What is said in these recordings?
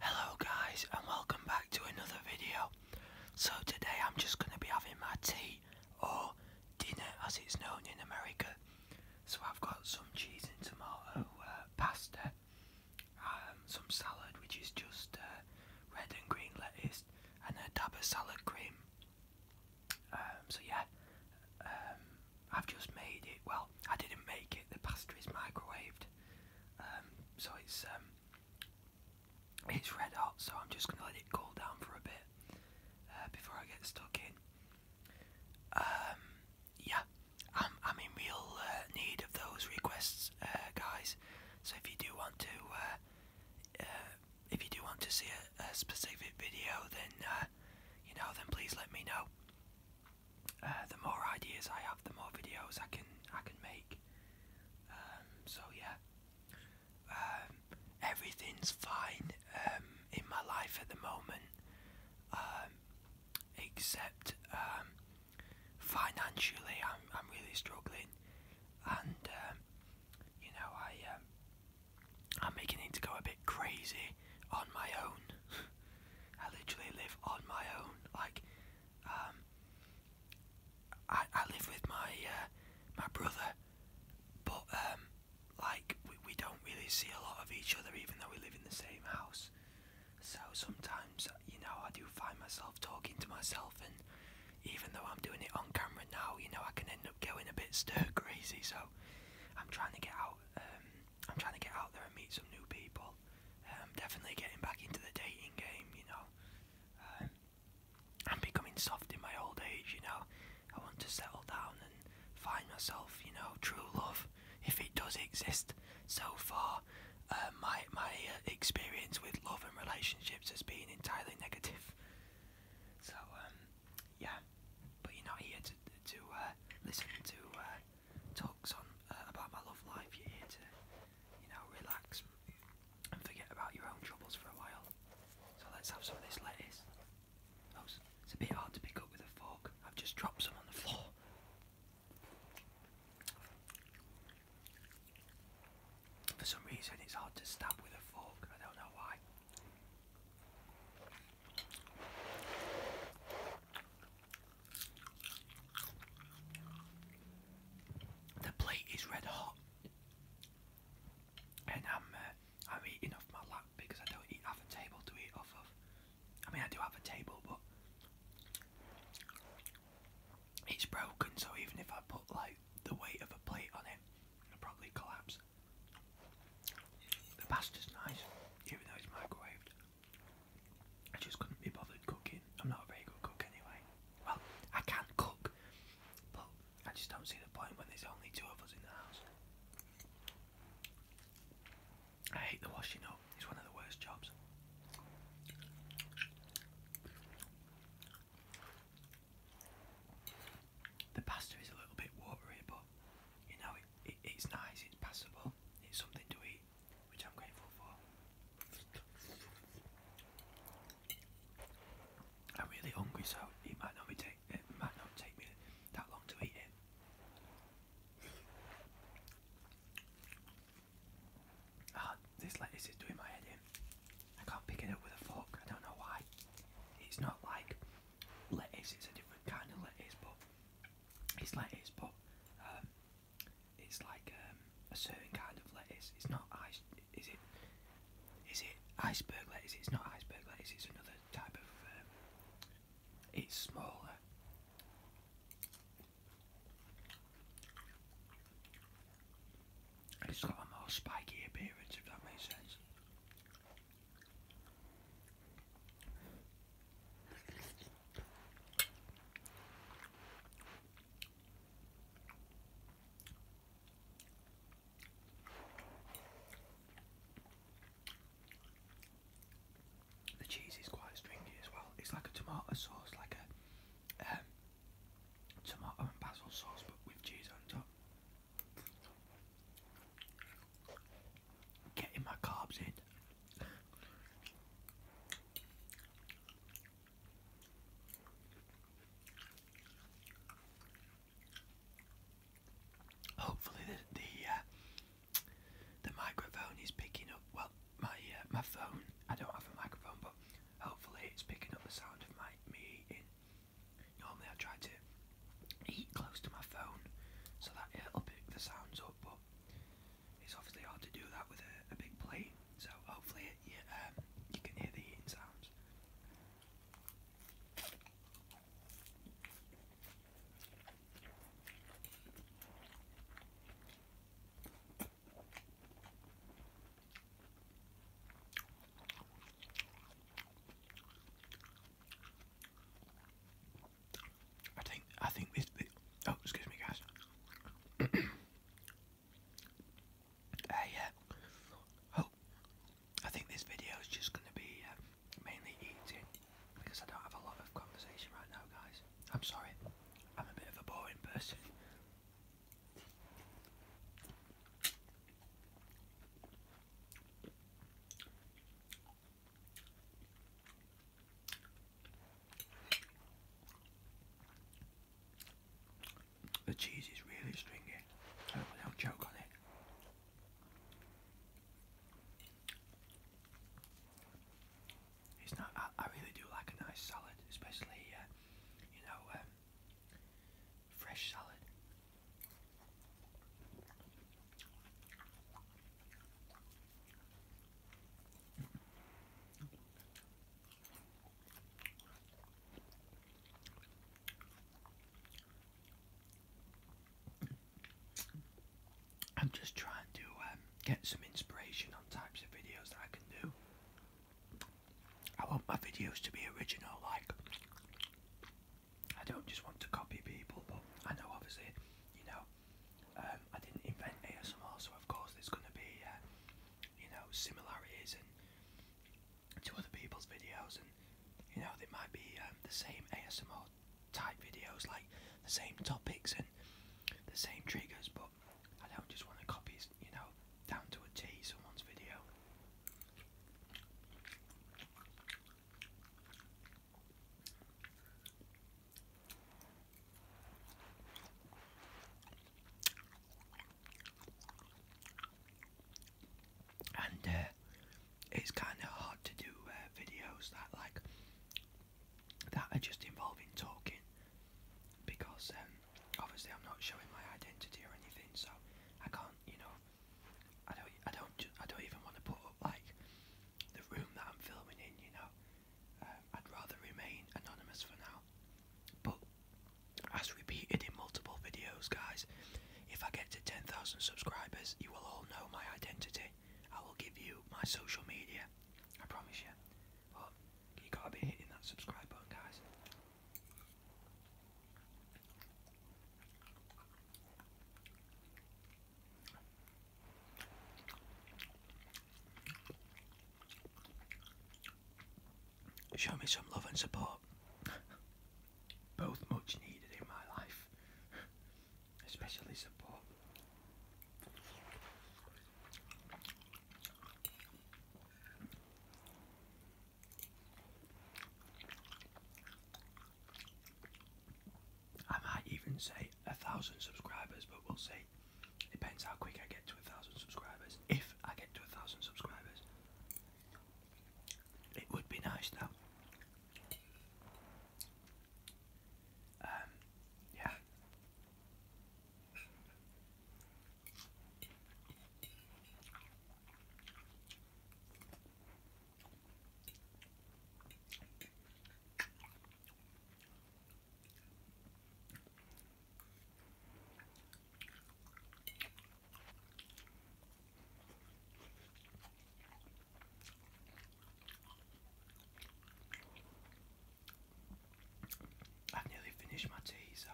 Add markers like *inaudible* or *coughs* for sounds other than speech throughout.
Hello guys and welcome back to another video. So today I'm just going to be having my tea or dinner as it's known in America. So I've got some cheese and tomato uh, pasta, um, some salad which is just uh, red and green lettuce and a dab of salad cream. Um, so yeah, um, I've just made it. Well, I didn't make it. The pasta is microwaved, um, so it's um, it's red hot. So I'm just gonna let it cool down for a bit uh, before I get stuck in. Um, yeah, I'm I'm in real uh, need of those requests, uh, guys. So if you do want to, if you do want to see a, specific video, then you know, then please let me know. Uh, the more ideas I have, the more videos I can I can make. Um, so yeah, um, everything's fine um, in my life at the moment, except financially I'm I'm really struggling, and you know I I'm making it to go a bit crazy on my own. *laughs* I literally live on my own. Like, um, I I live with my uh, my brother, but um, like we we don't really see a lot of each other, even though we live in the same house. So sometimes, you know, I do find myself talking to myself, and even though I'm doing it on camera now, you know, I can end up going a bit stir crazy. So I'm trying to get out um, I'm trying to get out there and meet some new people. Um, definitely getting back into the dating game, you know. Um, I'm becoming soft in my old age, you know. I want to settle down and find myself, you know, true love, if it does exist. So far, uh, my my uh, experience with love and relationships has been entirely negative. So um, yeah, but you're not here to to uh, listen to talks on uh, about my love life. You're here to, you know, relax and forget about your own troubles for a while. So let's have some of this lettuce. Oh, it's a bit hard to pick up with a fork. I've just dropped some on the floor. For some reason, it's hard to stab with a fork. I don't know why. The plate is red hot, and I'm uh, I'm eating off my lap because I don't have a table to eat off of. I mean, I do have a table, but it's broken, so even if I put like the weight of a plate on it, it'll probably collapse. The pasta's nice, even though it's microwaved. I just couldn't be bothered cooking. I'm not a very good cook anyway. Well, I can cook, but I just don't see the point when there's only two of us in the house. I hate the washing up, it's one of the worst jobs. The pasta is a little bit watery, but you know, it's nice, it's passable, it's something to eat. I'm really hungry, so it might not take me that long to eat it. Ah, this lettuce is doing my head in. I can't pick it up with a fork. I don't know why. It's not like lettuce; it's a different kind of lettuce, but it's lettuce, but um, it's like um, a certain kind of lettuce. It's not ice. Is it? Is it iceberg lettuce? It's not iceberg lettuce. It's another type of. Um, it's smaller. It's got a more spiky appearance, if that makes sense. The cheese is quite stringy as well. It's like a tomato sauce, like a um, tomato and basil sauce, but with cheese on top getting my carbs in. Hopefully the the, uh, microphone is picking up. Well, my uh, my phone. I don't have a microphone, but hopefully it's picking up the sound of my me eating. Normally I try to eat close to my phone so that it'll pick the sounds up, but it's obviously hard to do that with a, big plate, so hopefully it, um, you can hear the eating sounds. I think I think this, oh excuse me guys. *coughs* uh, yeah. Oh, I think this video is just going to be um, mainly eating because I don't have a lot of conversation right now, guys. I'm sorry. I'm a bit of a boring person. The cheese is really stringy. I don't choke on it. It's not. I, really do like a nice salad, especially uh, you know um, fresh salad. I'm just trying to um, get some inspiration on types of videos that I can do. I want my videos to be original, like, I don't just want to copy people, but I know obviously, you know, um, I didn't invent ASMR, so of course there's going to be, uh, you know, similarities and to other people's videos, and you know they might be um, the same ASMR type videos, like the same topics and the same triggers. But I don't just want to copy, you know, down to a T someone's video and uh, it's kind of hard to do uh, videos that like that are just involving talking because um, obviously I'm not showing my identity or anything, so I can't, you know, I don't, I don't, I don't even want to put up like the room that I'm filming in, you know. Um, I'd rather remain anonymous for now. But as repeated in multiple videos, guys, if I get to 10,000 subscribers, you will all know my identity. I will give you my social media. I promise you. But you gotta be hitting that subscribe button, guys. Show me some love and support. Both much needed in my life, especially support. I might even say a thousand subscribers, but we'll see see. Depends how quick I get to a thousand subscribers. If I get to a thousand subscribers, it would be nice Now, um, yeah. I've nearly finished my tea, so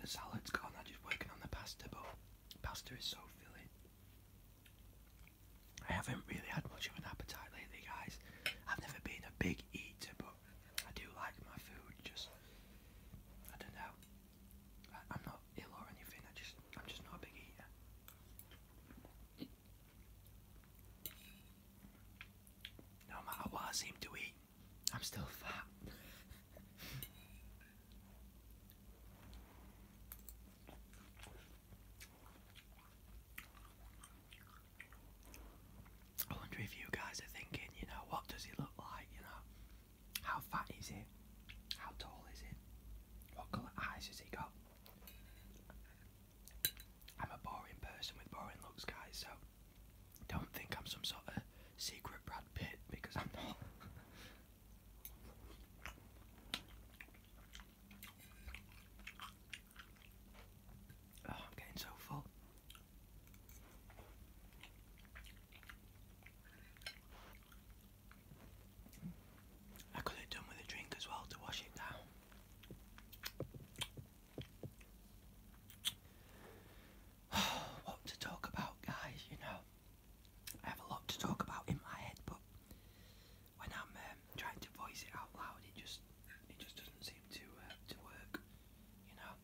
the salad's gone. I'm just working on the pasta, but pasta is so filling. I haven't really had much of an appetite lately, guys. I've never been a big eater, but I do like my food. Just I don't know. I, am not ill or anything. I just I'm just not a big eater. No matter what I seem to eat, I'm still fat. *laughs* I wonder if you guys are thinking, you know, what does he look like, you know? How fat is he? How tall is he? What colour eyes does he got? I'm a boring person with boring looks, guys, so don't think I'm some sort of secret Brad Pitt because I'm not. *laughs* Oh, I'm getting so full. I could have done with a drink as well to wash it down. *sighs* what to talk about, guys? You know, I have a lot to talk about in my head, but when I'm um, trying to voice it out loud, it just it just doesn't seem to uh, to work, you know.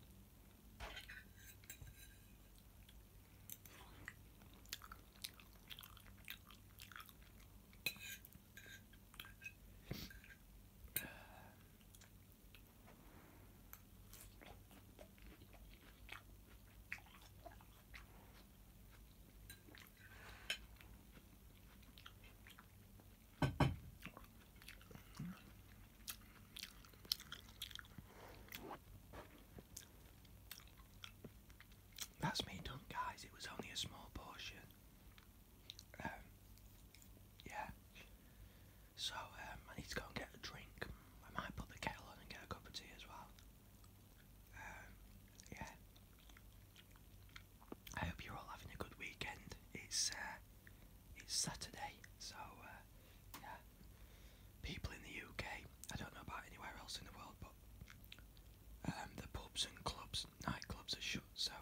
That's me done, guys. It was only a small portion. Um, yeah. So um, I need to go and get a drink. I might put the kettle on and get a cup of tea as well. Um, yeah. I hope you're all having a good weekend. It's uh, it's Saturday, so uh, yeah. People in the UK, I don't know about anywhere else in the world, but um, the pubs and clubs, nightclubs are shut, so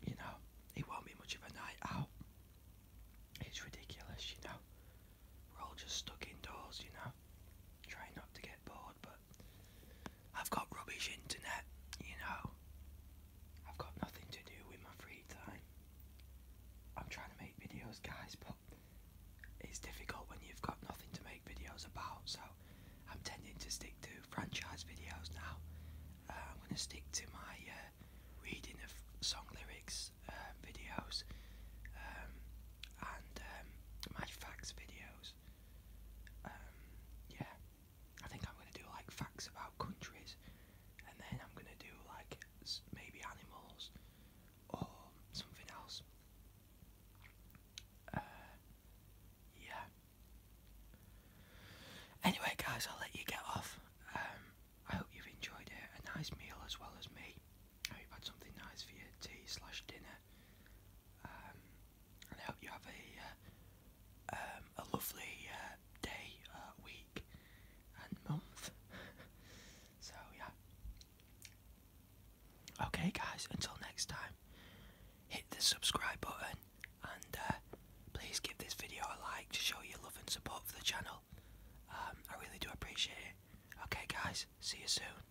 you know it won't be much of a night out. It's ridiculous, you know. We're all just stuck indoors, you know. Trying not to get bored, but I've got rubbish internet, you know. I've got nothing to do with my free time. I'm trying to make videos, guys, but it's difficult when you've got nothing to make videos about, so I'm tending to stick to franchise videos now. Uh, I'm going to stick to my uh, reading of song lyrics um, videos um, and um, my facts videos. yeah, I think I'm going to do like facts about countries, and then I'm going to do like maybe animals or something else. Uh, yeah. Anyway, guys, I'll let you get off. Um, I hope you've enjoyed it. A nice meal as well as me. I hope you've had something nice for your tea slash dinner. Um, I hope you have a uh, um, a lovely uh, day, uh, week, and month. *laughs* so yeah. Okay, guys. Until next time, hit the subscribe button and please give this video a like to show your love and support for the channel. Um, I really do appreciate it. Okay, guys. See you soon.